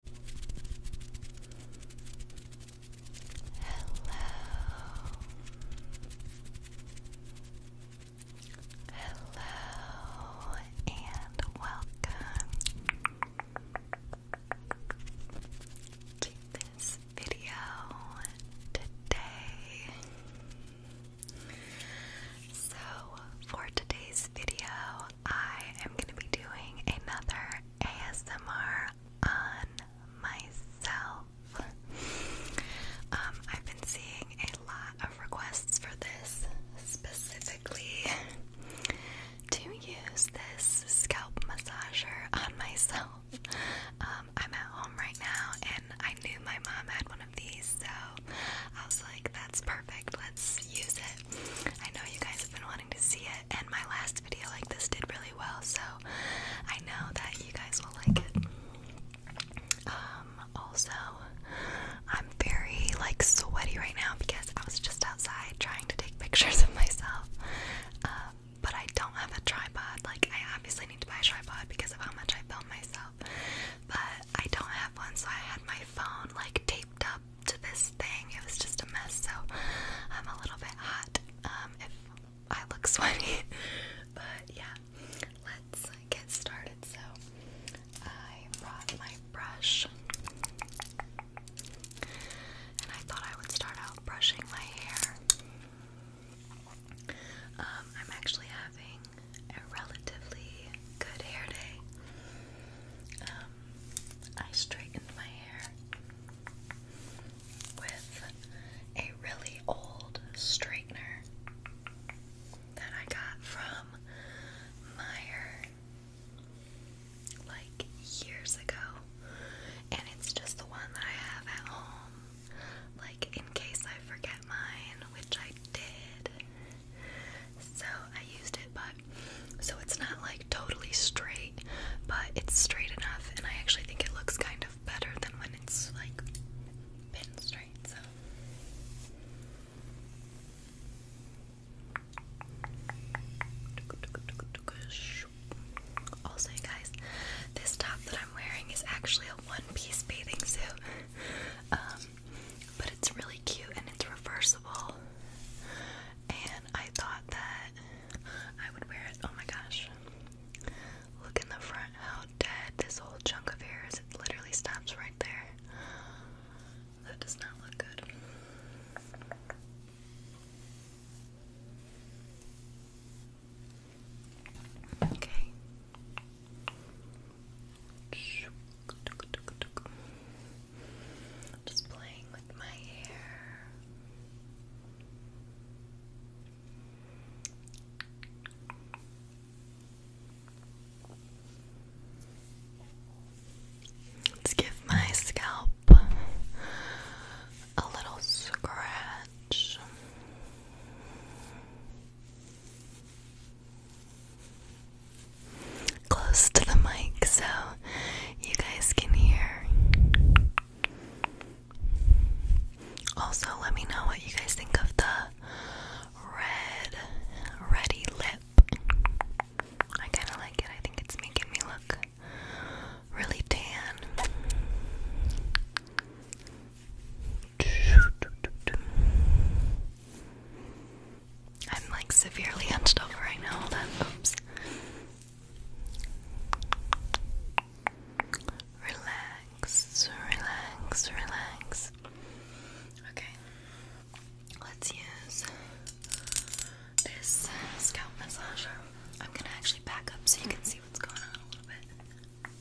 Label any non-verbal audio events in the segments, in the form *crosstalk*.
Hello and welcome to this video today. So, for today's video, I am going to be doing another ASMR on myself. Um, I've been seeing a lot of requests for this, specifically to use this scalp massager on myself. Um, I'm at home right now, and I knew my mom had one of these, so I was like, that's perfect, let's use it. I know you guys have been wanting to see it, and my last video like this did really well, so I know that you guys will like it. Um, also, I'm very like sweaty right now because I was just outside trying to take pictures of myself. Um, but I don't have a tripod. Like, I obviously need to buy a tripod because of how much I film myself. But I don't have one, so I had my phone like taped up to this thing. It was just a mess, so I'm a little bit hot um, if I look *laughs* sweaty. but yeah, let's get started. So I brought my brush, and I thought I would start out brushing my hair. Um, I'm actually having a relatively good hair day. Um, I straightened my hair with a really old straightener that I got from Meyer like years ago. And it's just the one that I have at home. Like in case I forget mine, which I did. So I used it, but so it's not like totally straight, but it's straight enough, and I actually think it looks kind of better than when it's like pin straight. So. Also, guys, this top that I'm wearing is actually a one-piece bathing suit. *laughs* Um, but it's really cute and it's reversible. And I thought that I would wear it. Oh my gosh. Look in the front how dead this whole chunk of hair is. It literally stops right there. That does not look good. Okay. Just playing with my hair. Let's give my scalp a little scratch close to the mic so you guys can hear. Also, let me know what you guys think of the red, ready lip. I kind of like it, I think it's making me look really tan. I'm like severely *laughs* hunched over right now. Oops. Relax, relax, relax. Okay. Let's use this scalp massager. I'm gonna actually back up so you can see what's going on a little bit.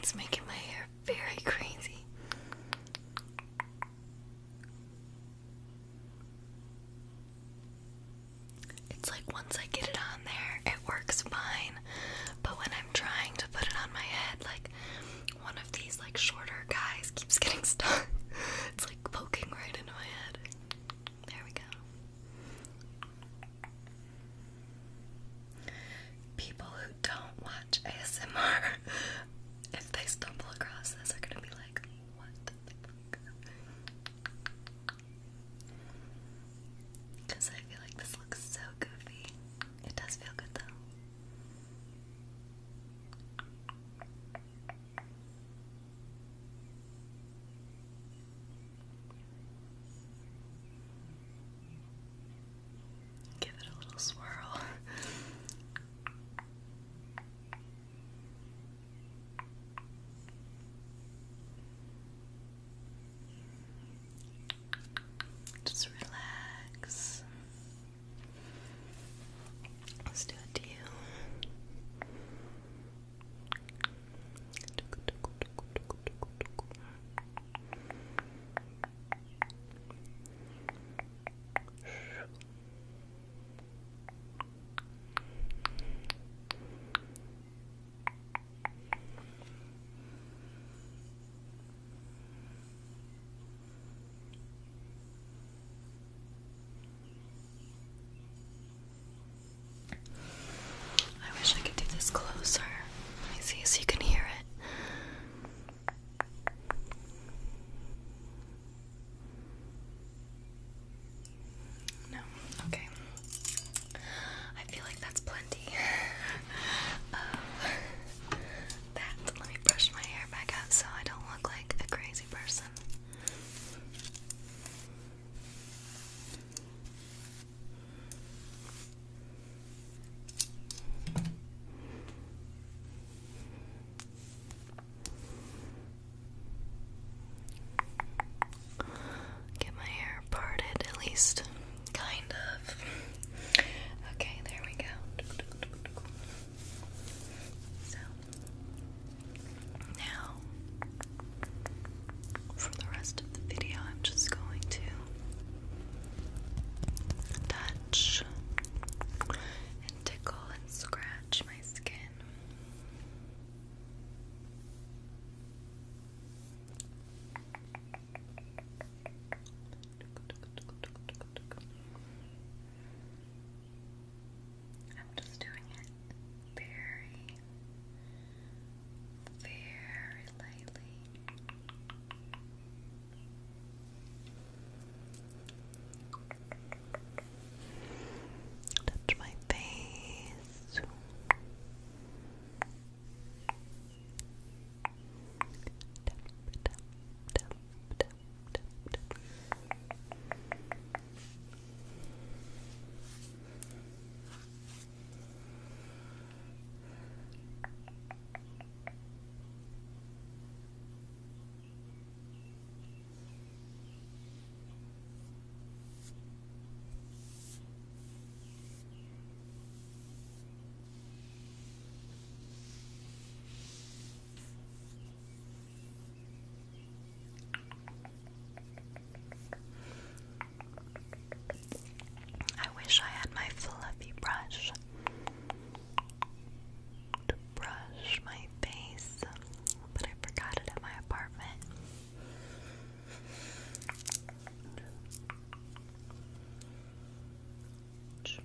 It's making my hair very crazy. It's like once I get it on there, it works fine. But when I'm trying to put it on my head, like one of these like shorter guys keeps *laughs* getting stuck. it's like poking right into my head. There we go. People who don't watch ASMR, *laughs* if they stumble across this, are gonna be because I feel like this looks so goofy. It does feel good though. Give it a little swirl. *laughs* Just relax. Let's do it to you. Relax. I wish I could do this closer. Let me see so you can hear it. No, okay. I feel like that's plenty of *laughs* uh, that. Let me brush my hair back out so I don't look like a crazy person. Get my hair parted at least. Kind of. Okay, there we go. So, now, for the rest of the video, I'm just going to touch and tickle and scratch my skin. I'm just doing it very, very lightly. Touch my face. I wish I had my fluffy brush to brush my face, but I forgot it at my apartment. Okay.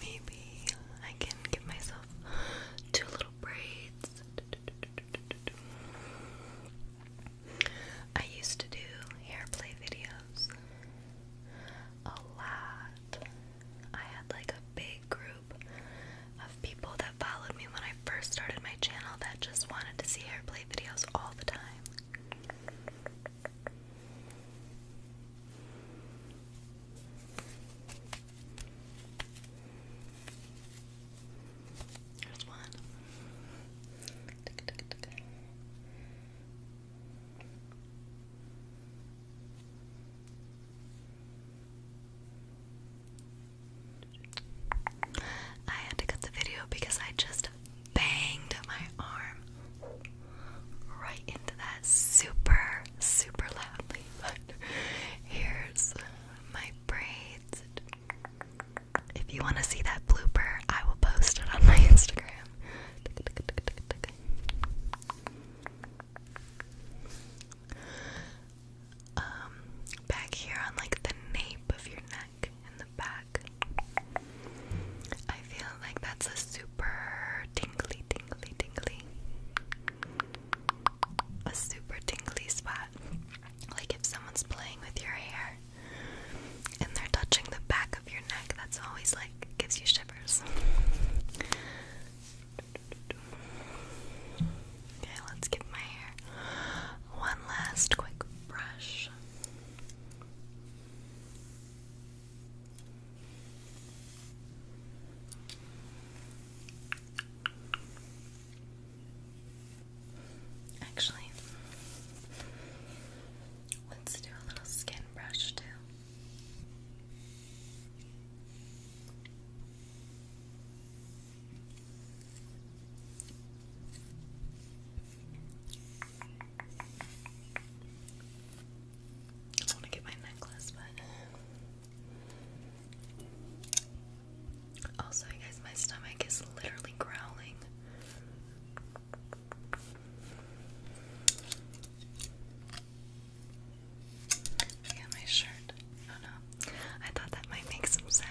Maybe I can give myself two little braids. I used to do hair play videos a lot. I had like a big group of people that followed me when I first started my channel that just wanted to see hair play videos all the time. There's one. I had to cut the video because I just banged my arm right into that super, super loudly but *laughs* here's my braids. If you want to see that blooper, I will post it on my Instagram. Um, back here on like the nape of your neck in the back. I feel like that's a super tingly, tingly, tingly a super tingly spot. Like if someone's playing with your hair and they're touching the back of your neck, that's always like gives you shivers. Okay, let's give my hair one last quick brush. Actually, let's do a little skin brush too. I want to get my necklace, but also, you guys, my stomach is literally growling. Yeah, my shirt. Oh no. I thought that might make some sound.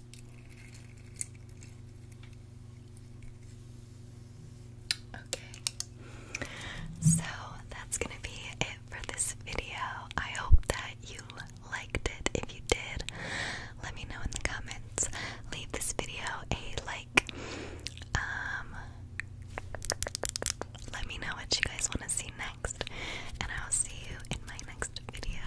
Okay, so that's gonna be it for this video. I hope that you liked it. If you did, let me know in the comments. Leave this video a like. Um, let me know what you guys want to see next, and I'll see you in my next video.